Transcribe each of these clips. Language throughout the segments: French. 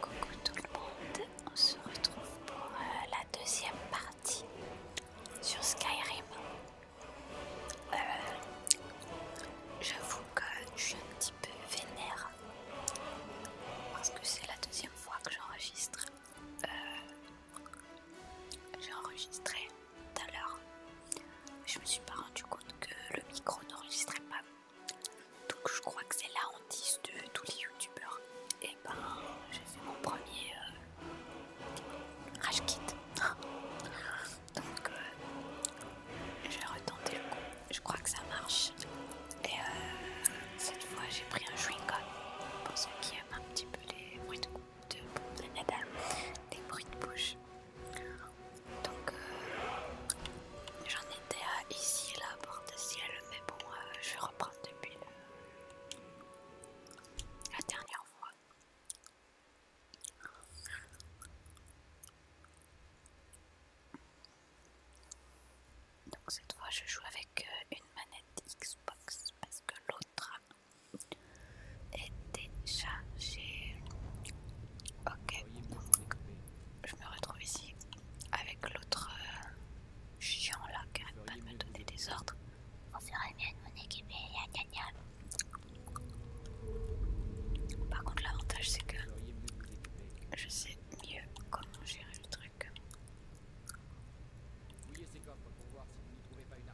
Coucou tout le monde, on se retrouve pour euh, la deuxième partie sur Skyrim. Euh, J'avoue que je suis un petit peu vénère parce que c'est la deuxième fois que j'enregistre. Euh, j'ai enregistré tout à l'heure. Je me suis pas rendu compte que le micro n'enregistrait pas donc je crois que c'est la hantise de tous les youtubeurs. Et eh ben c'est mon premier Ah rage kit. Donc euh, je vais retenter le coup. Je crois que ça marche. Et euh, cette fois j'ai pris un chewing-gum. Pour ceux qui aiment un petit peu les bruits de, les bruits de bouche. Donc euh, j'en étais à ici là, porte-ciel, mais bon, euh, je vais reprendre depuis euh, la dernière fois. Donc cette fois je joue avec une manette Xbox parce que l'autre est déchargée. Ok, je me retrouve ici avec l'autre euh, chiant là qui a pas de me donner des ordres. On ferait bien de mon équipe et gna gna. Par contre, l'avantage c'est que je sais mieux comment gérer le truc.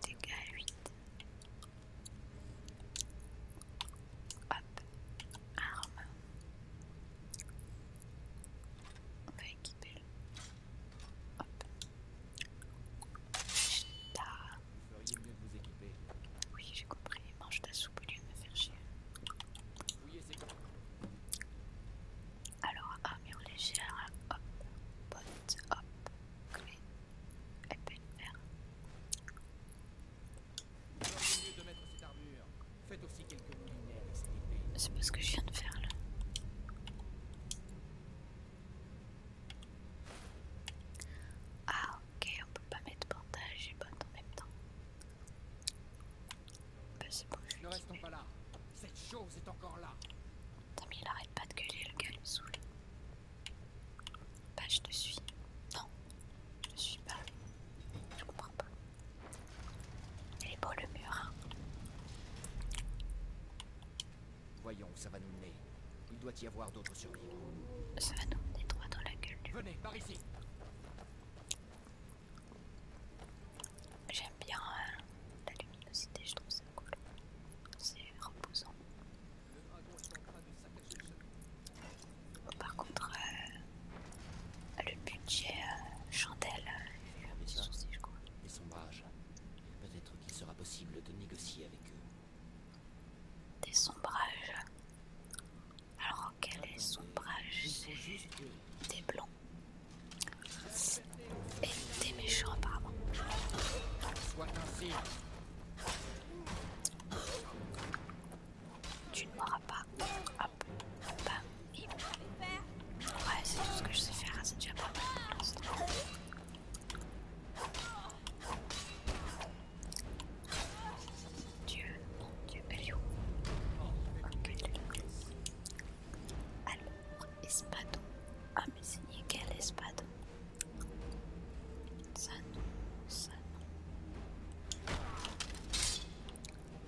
Dégâts 8. Hop, arme. On va équiper le. Hop. Ah. Vous mieux vous équiper. Oui, j'ai compris. Mange ta soupe au lieu de me faire chier. Oui, Alors, armure légère. Hop, pote. hop, clé, peut de fer. C'est pas ce que je viens de faire là. Ah ok, on peut pas mettre bandage et botte en même temps. Bah c'est bon. Ne restons pas là. Cette chose est encore là. mais il arrête pas de gueuler le gars, il me saoule. Bah, je te suis. Non, je ne suis pas. Je comprends pas. Il est beau le mur. Hein. Voyons où ça va nous mener. Il doit y avoir d'autres survivants Ça va nous mener droit dans la gueule Venez, par ici. J'aime bien euh, la luminosité, je trouve ça cool. C'est reposant. Par contre, euh, le budget euh, chandelle, euh, un petit sourcil, je crois. Des Peut-être qu'il sera possible de négocier avec eux. Des sombrages. Alors, quel est sombrage C'est des blancs. Et des méchants, apparemment. Soit ainsi. Tu ne mourras pas. Hop, Ouais, c'est tout ce que je sais faire, c'est déjà pas mal Dieu, alors, espadon. Ah, mais c'est nickel, espadon. Ça non, ça non.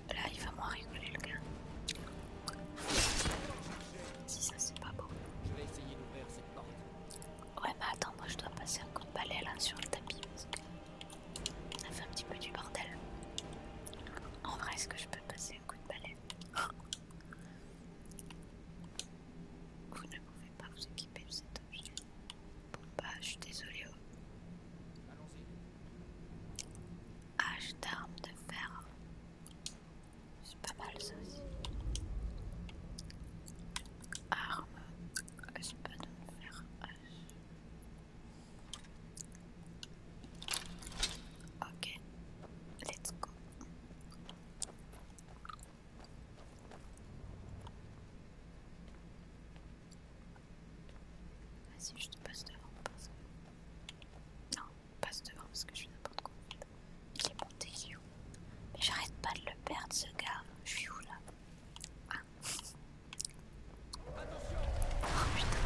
Là, il va moins rigoler le gars. Si ça, c'est pas beau. Je vais essayer d'ouvrir cette porte. Ouais, mais attends, moi je dois passer un coup de balai là sur le tapis parce que ça fait un petit peu du bordel. En vrai, est-ce que je peux passer un coup de balai Vous ne pouvez par pas vous équiper de cet objet. Bon bah je suis désolée. H oh. d'armes ah, de fer. C'est pas mal ça aussi. Arme. C'est pas de fer. Ok. Let's go. Vas-y, je te passe devant, Non, passe devant parce que je suis n'importe quoi. Il est monté où Mais j'arrête pas de le perdre ce gars. Je suis où là Ah Oh putain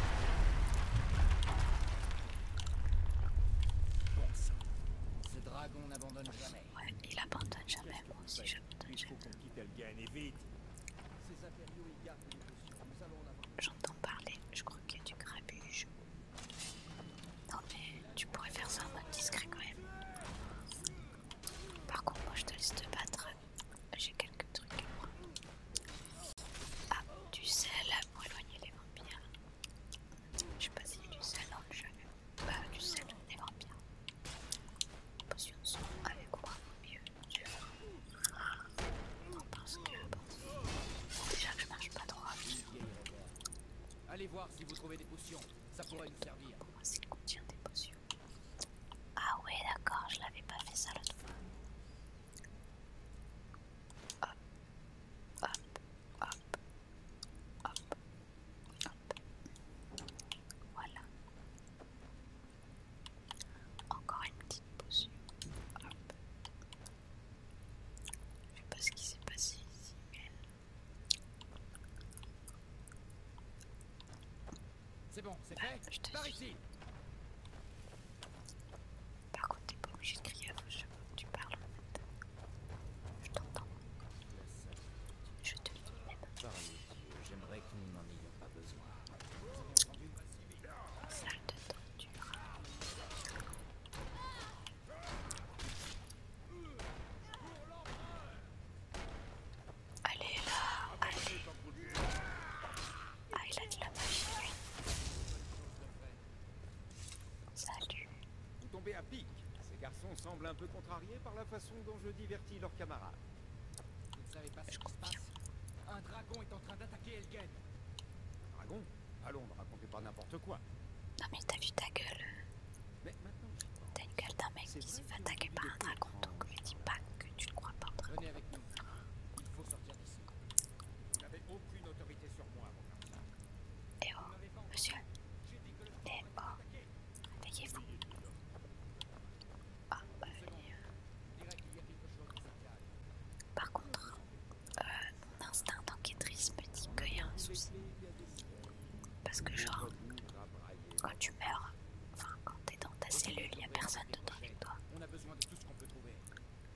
ce dragon, n'abandonne jamais. Ouais, il abandonne jamais, moi aussi j'abandonne jamais. J'entends parler, je crois qu'il y a du grabuge. Non mais tu pourrais faire ça en mode discret quand même. Par contre moi je te laisse te battre. J'ai quelques trucs à moi. Ah, du sel pour éloigner les vampires. Je sais pas s'il y a du sel dans le bah, du sel, bien. Les Potions sont avec moi mieux. milieu Ah, non, parce que bon, déjà que je marche pas trop Allez voir si vous trouvez des potions, ça pourrait nous servir. Pour moi, contient des potions. Ah, ouais, d'accord, je l'avais pas fait ça l'autre fois. Hop, hop, hop, hop, voilà. Encore une petite pause. Je Je sais pas ce qui s'est passé ici, mais. C'est bon, c'est ah, fait. Je te Par ici. Par contre, t'es pas obligé de crier à vos que tu parles en Je t'entends. Je te lis même. J'aimerais que nous n'en ayons pas besoin. Salle de torture. Allez là, allez. Ah, il a de la Salut. Vous tombez à pic. Ces garçons semblent un peu contrariés par la façon façon dont je divertis leurs camarades. Vous ne savez pas ce qui se passe Un dragon est en train d'attaquer Elgen. Dragon Allons, ne racontez pas n'importe quoi. Non mais t'as vu ta gueule Mais maintenant... T'as une gueule d'un mec qui s'est fait attaquer par un dragon, donc ne dis pas que tu ne crois pas Venez avec nous. Il faut sortir d'ici. Vous n'avez aucune autorité sur moi avant ça. Eh oh, monsieur. Eh oh. Réveillez-vous. Ah, bah, euh. Par contre, euh, mon instinct enquêtrice me dit qu'il y a un souci. Parce que, genre, quand tu meurs, enfin, quand t'es dans ta cellule, il n'y a personne dedans avec toi.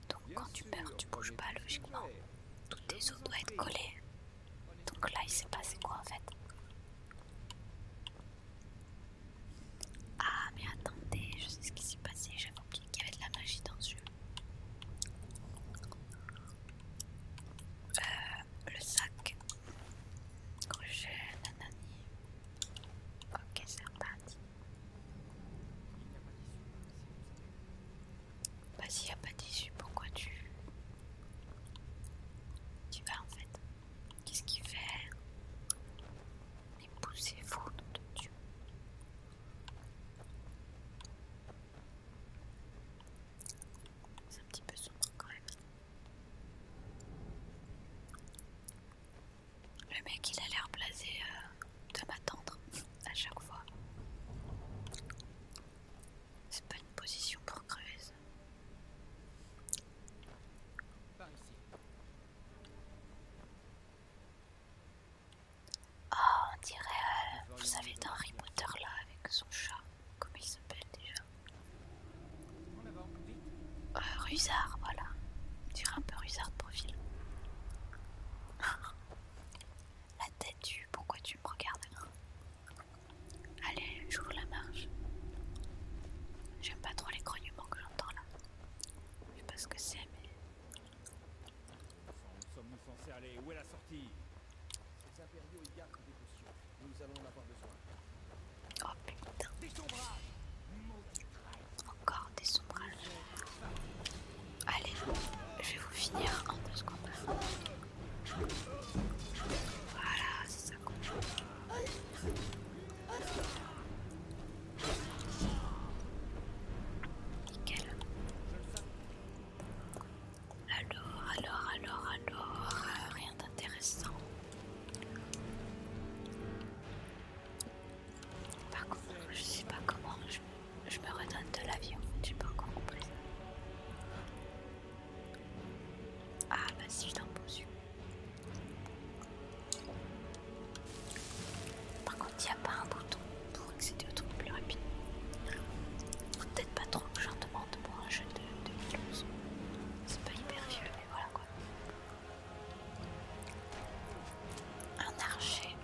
Donc, quand tu meurs, tu bouges pas logiquement. Toutes tes os doivent être collées. Donc là, il s'est passé quoi en fait Ah, mais attendez, je sais ce qui s'est passé. J'avais oublié qu'il y avait de la magie dans ce jeu. Euh, le sac. Crochet, nanani. Ok, c'est reparti. Bah, s'il n'y a pas d'issue, pourquoi tu. Tu vas en fait. Qu'est-ce qu'il fait Épousez-vous, nom de Dieu. C'est un petit peu sombre quand même. Le mec il a l'air blasé de euh, m'attendre à chaque fois. C'est pas une position pour creuse. Oh, ah, on dirait, euh, vous savez, d'un remoteur, là, avec son chat, comme il s'appelle déjà. Euh, Rusard, voilà. On dirait un peu Rusard de profil. La tête du pourquoi tu me regardes Allez, je j'ouvre la marche. J'aime pas trop les grognements que j'entends là. Je sais pas ce que c'est, mais. Où sommes-nous censés aller Où est la sortie Ces impériaux y gardent des potions. Nous allons en avoir besoin. Oh putain. Des sombrages Encore des sombrages. Allez, je vais vous finir en deux secondes. Voilà, c'est ça qu'on Nickel. Alors, alors, alors, alors, rien d'intéressant. Par contre, je sais pas comment je, je me redonne de l'avion, j'ai pas encore compris. Ah bah si je t'impose Par contre, il n'y a pas un bouton pour accéder au truc plus rapide. peut-être pas trop que j'en demande pour un jeu de 2011. C'est pas hyper vieux, mais voilà quoi. Un archer.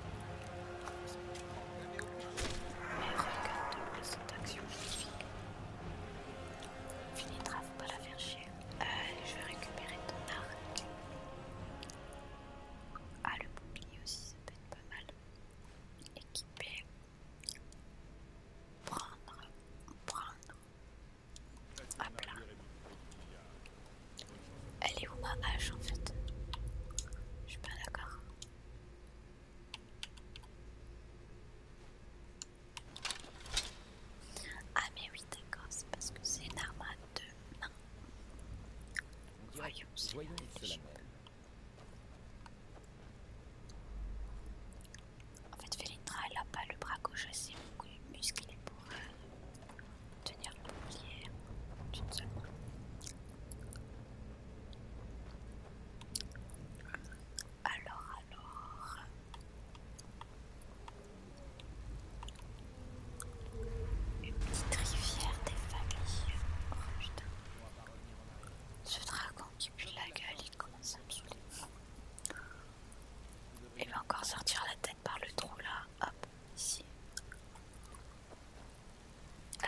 Mais regarde cette action magnifique. Finitra, faut pas la faire chier. je vais récupérer ton arc. Ah, le bouclier aussi, ça peut être pas mal. Équiper. Prendre. Prendre. Hop là. Elle est où ma hache en fait Je suis pas d'accord. Ah mais oui d'accord, c'est parce que c'est une arme à deux Voyons, c'est En fait, Felindra, elle n'a pas le bras gauche assez musclé pour euh, tenir le pied d'une seule main. Alors, alors. Une petite rivière des familles. Oh putain. Ce dragon qui pue la gueule, il commence à me saouler. Il va encore sortir la tête par le trou là. Hop, ici.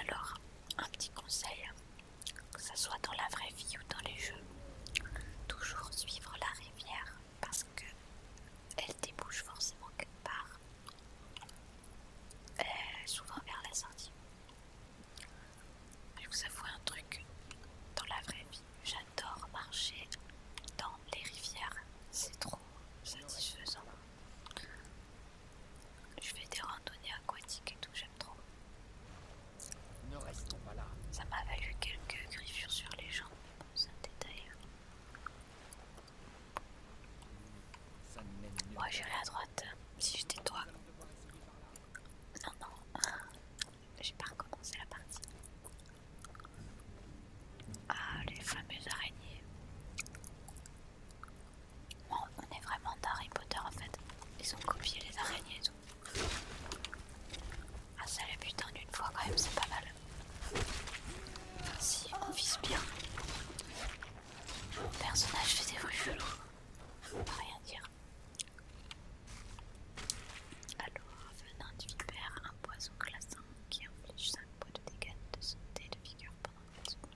Alors, un petit conseil que ce soit dans la vraie vie ou dans les jeux, toujours suivre la rivière parce qu'elle débouche forcément quelque part, euh, souvent vers la Je vous avoue un truc, dans la vraie vie, j'adore marcher dans les rivières, c'est trop satisfaisant. Je fais des randonnées aquatiques et tout, pas là. Ça m'a valu quelques griffures sur les jambes, ça me c'est Moi j'irai à droite, si j'étais toi. Non, non, hein. j'ai pas recommencé la partie. Ah, les fameuses araignées. On, est vraiment d'Harry Potter en fait. Ils ont copié les araignées et tout. Ah ça les en d'une fois quand même c'est pas mal. si on vise bien. personnage fait des bruits On rien dire. Alors, venant du vipère, un poison classant qui inflige 5 points de dégâts de santé de figure pendant 4 secondes.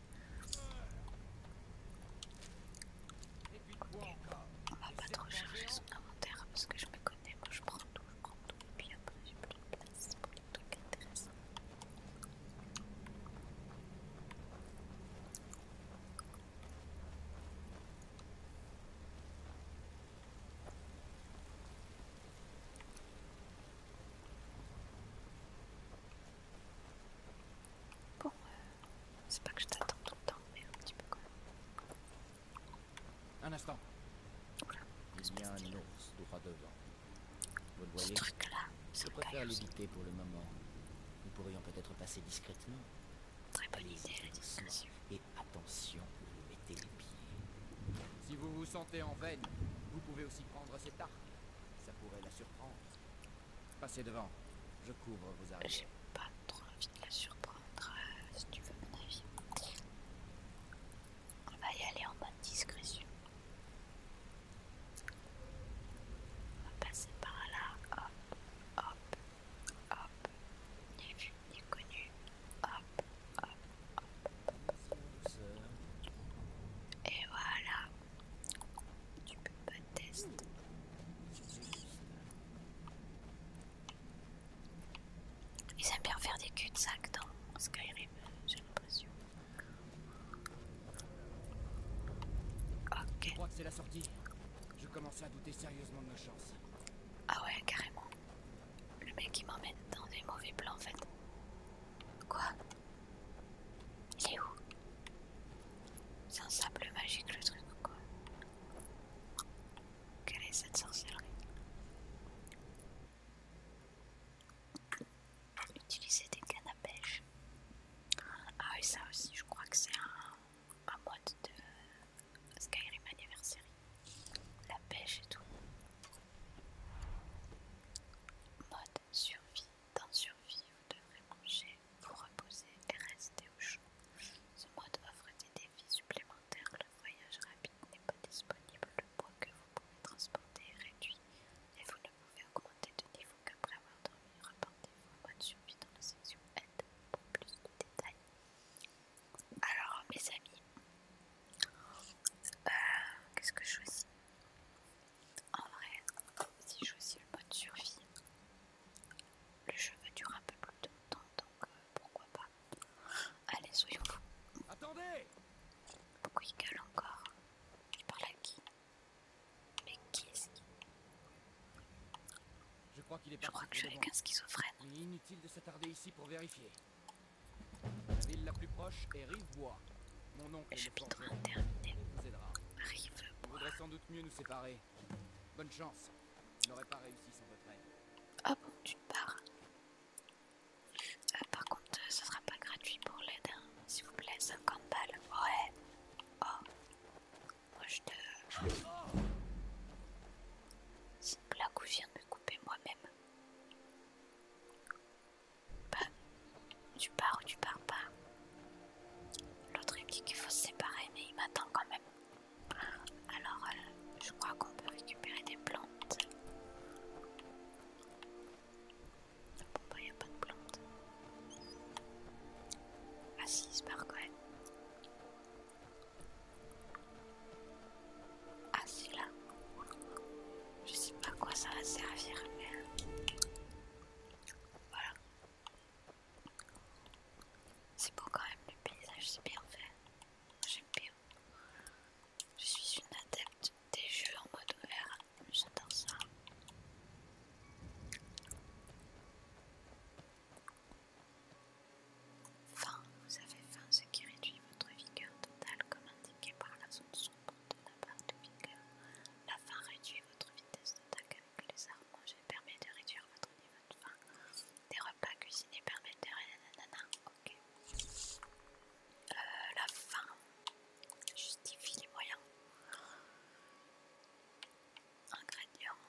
On va pas trop chercher son inventaire parce que je me connais, moi je prends tout, je prends tout, et puis après j'ai plus de place pour les trucs intéressants. Euh, c'est pas que je t'attends tout le temps, mais un petit peu quand même. Un instant. Voilà. Il y a un ours droit devant. Vous le voyez Ce truc-là, Je préfère l'éviter pour le moment. Nous pourrions peut-être passer discrètement. Très bonne idée, la discrétion. Et attention, mettez les pieds. Si vous vous sentez en veine, vous pouvez aussi prendre cet arc. Ça pourrait la surprendre. Passez devant. Je couvre vos arrières. J'ai pas trop envie de la surprendre, euh, si tu veux mon avis. On va y aller en bonne discrétion. On va passer par là. Hop, hop, hop. N'est vu, connu. Hop, hop, hop. Et voilà. Tu peux pas tester. Ils aiment bien faire des cul-de-sac dans Skyrim, j'ai l'impression. Ok. Je crois que c'est la sortie. Je commence à douter sérieusement de ma chance. Ah ouais, carrément. Le mec il m'emmène dans des mauvais plans en fait. Quoi il est où C'est un sable magique le truc ou quoi Quelle est cette sorcellerie Utiliser des cannes à pêche. Ah oui ça aussi je crois que c'est un, un mode de Skyrim Anniversary. La pêche et tout. Mode survie, dans survie, vous devrez manger vous reposer et rester au chaud. Ce mode offre des défis supplémentaires. Le voyage rapide n'est pas disponible. Le poids que vous pouvez transporter est réduit et vous ne pouvez augmenter de niveau qu'après avoir dormi. Reportez-vous mode survie dans la section aide pour plus de détails. Alors mes amis, euh, qu'est-ce que je choisis en vrai, si je choisis le mode survie, le jeu va durer un peu plus de temps, donc euh, pourquoi pas. Allez, soyons fous. Attendez Pourquoi il gueule encore Il parle à qui Mais qui est-ce qui Je crois, qu'il est je crois que je suis avec un schizophrène. Il est inutile de s'attarder ici pour vérifier. La ville la plus proche est Rivebois. Mon oncle est vais chapitre interminé. Rivebois mieux nous séparer. Bonne chance. Je n'aurais pas réussi sans votre aide. Ah bon, tu pars. Ah par contre, ce sera pas gratuit pour l'aide, hein. s'il vous plaît, 50 balles. Ouais. Oh. Moi je te. C'est une où je viens de me couper moi-même. Bah, tu pars ou tu pars pas. L'autre il me dit qu'il faut se séparer, mais il m'attend quand même. Alors, euh, je crois qu'on peut récupérer des plantes. Bon, il bah, y a pas de plantes. Ah, si, il se Ah, c'est là. Je sais pas à quoi ça va servir, mais. Euh, voilà. C'est beau quand même, le paysage c'est bien fait. J'aime bien. Je suis une adepte des jeux en mode ouvert. J'adore ça. Faim, vous avez faim, ce qui réduit votre vigueur totale comme indiqué par la zone sombre la faim réduit votre vitesse d'attaque avec les armes vais permet de réduire votre niveau de faim. Des repas cuisinés permettent de réduire euh, la faim justifie les moyens. Ingrédients.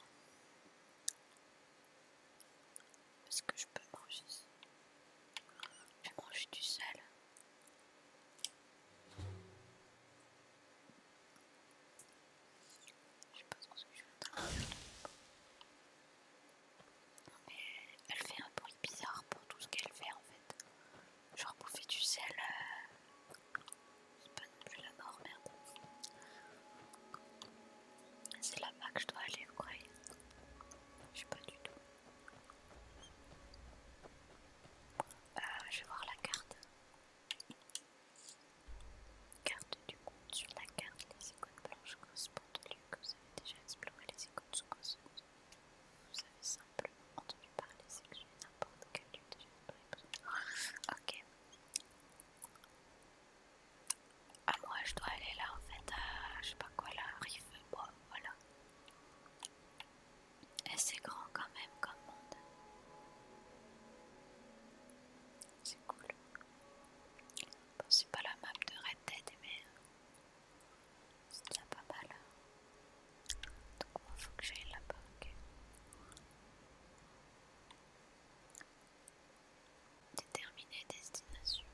Est-ce que je peux manger Je mange du sel. Je sais pas ce que je vais Non mais elle fait un bruit bizarre pour tout ce qu'elle fait en fait. Genre bouffer du sel. Euh, c'est pas non plus la mort, merde. C'est là-bas que je dois aller, vous croyez Je sais pas du tout. Euh, je vais voir la carte. Carte du compte. Sur la carte, les icônes blanches correspondent au lieu que vous avez déjà exploré. Les icônes sous causeuses. Vous avez simplement entendu parler, c'est que j'ai n'importe quel lieu déjà exploré. Ok. Ah, moi je dois aller là en fait, à, je sais pas quoi, là, rive, bois, voilà. Et c'est grand quand même comme monde. C'est cool. c'est pas la map de Red Dead, mais euh, c'est pas mal. Donc moi, faut que j'aille là-bas, ok. Déterminer destination.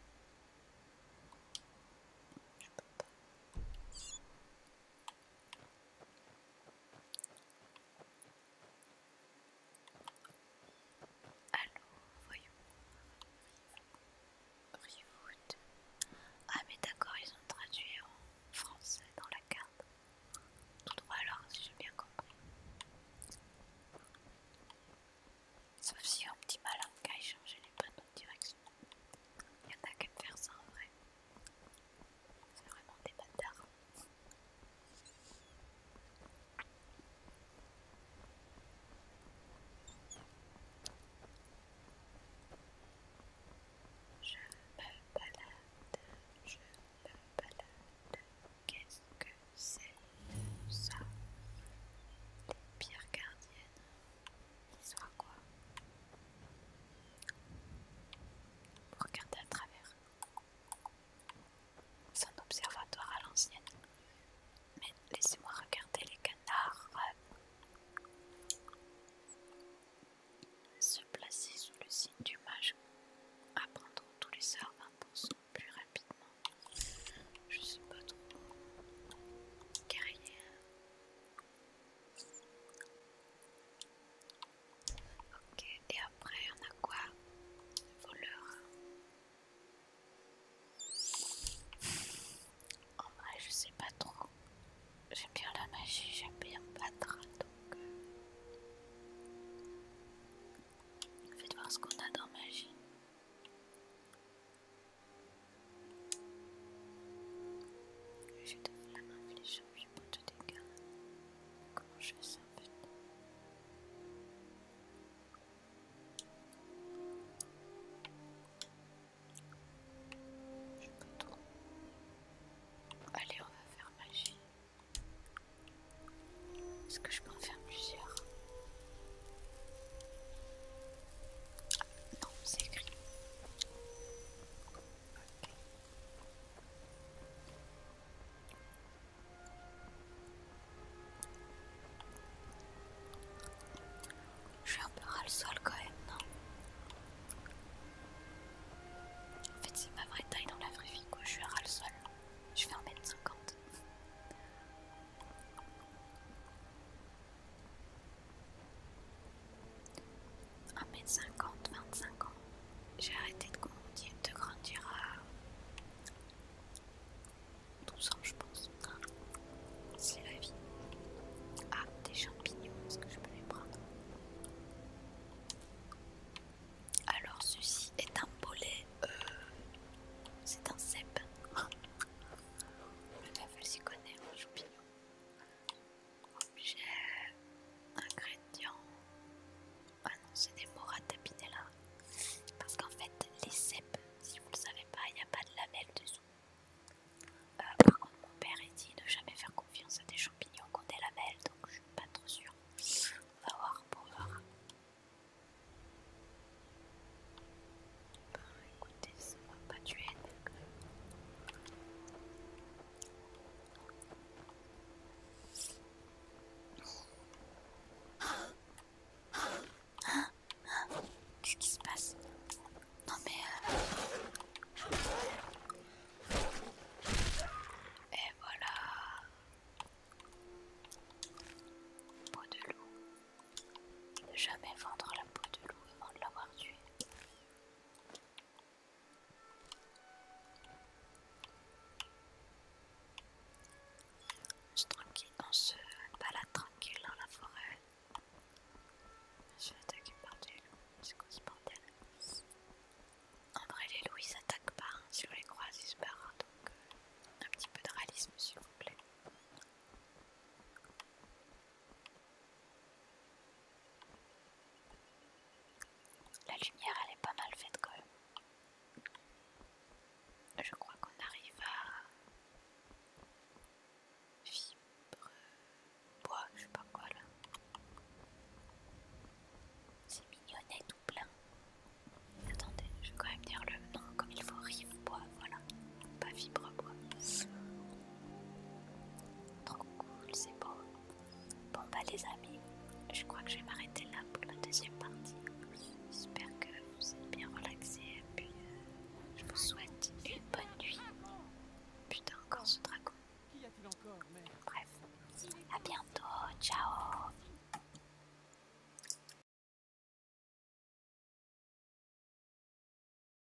Allo, voyons. reboot, Ah mais d'accord, ils ont traduit en français dans la carte. Tout droit alors, si j'ai bien compris. Sauf si un petit malin a échangé les panneaux de direction. Il y en a qu'à me faire ça en vrai. C'est vraiment des bâtards. Je me balade, je me balade. Qu'est-ce que c'est ça Les pierres gardiennes. Il sera quoi Regardez à travers. C'est un observatoire à l'ancienne. Mais laissez-moi regarder les canards euh, se placer sous le signe du mage, apprendre tous les heures 20% plus rapidement. Je sais pas trop. Guerrier. Ok, et après on a quoi Voleur. En vrai, je sais pas trop. J'aime bien la magie, j'aime bien battre, donc euh, faites voir ce qu'on a dans magie. Je donne la main fléchant, je prends tout dégâts. Comment je fais ça Je peux Allez, on va faire magie. Est-ce que je peux en faire plusieurs Non, c'est écrit. Je suis un peu ras le sol quand même, non En fait, c'est ma vraie taille dans la vraie vie, quoi. Je suis ras le sol. Je fais en mettre 50 1m50, 25 ans, j'ai arrêté de grandir, de grandir à 12 ans, je pense. C'est la vie. Ah, des champignons, est-ce que je peux les prendre Alors, ceci est un bolet. Euh, c'est un cep. La s'y connaît, un champignon. Objet, ingrédients. Ah non, c'est des à là, Parce qu'en fait, les cèpes, si vous le savez pas, il n'y a pas de lamelles dessous. Euh, par contre, mon père il dit de jamais faire confiance à des champignons qui ont des lamelles, donc je suis pas trop sûre. On va voir pour voir. Bah, écoutez, ne va pas tuer Qu'est-ce qui se passe Non mais... Euh, et voilà Peau de loup. Ne jamais vendre la peau de loup avant de l'avoir tuée. Je se, tranquille, se balade tranquille dans la forêt. Je suis attaqué par des loups, c'est quoi ce bordel En vrai, les loups ils s'attaquent pas, hein. si on les croise ils se barrent, hein, donc euh, un petit peu de réalisme s'il vous plaît. La lumière elle est pas mal faite quand même. Je crois qu'on arrive à fibre bois, je sais pas quoi là. C'est mignonnet tout plein. Attendez, je vais quand même dire le nom comme il faut. Rive bois, voilà pas fibre bois. Trop cool, c'est bon. Bon bah les amis, je crois que je vais m'arrêter là pour la deuxième partie. J'espère que vous êtes bien relaxés et puis euh, je vous souhaite une bonne nuit. Putain encore ce dragon. Bref, à bientôt, ciao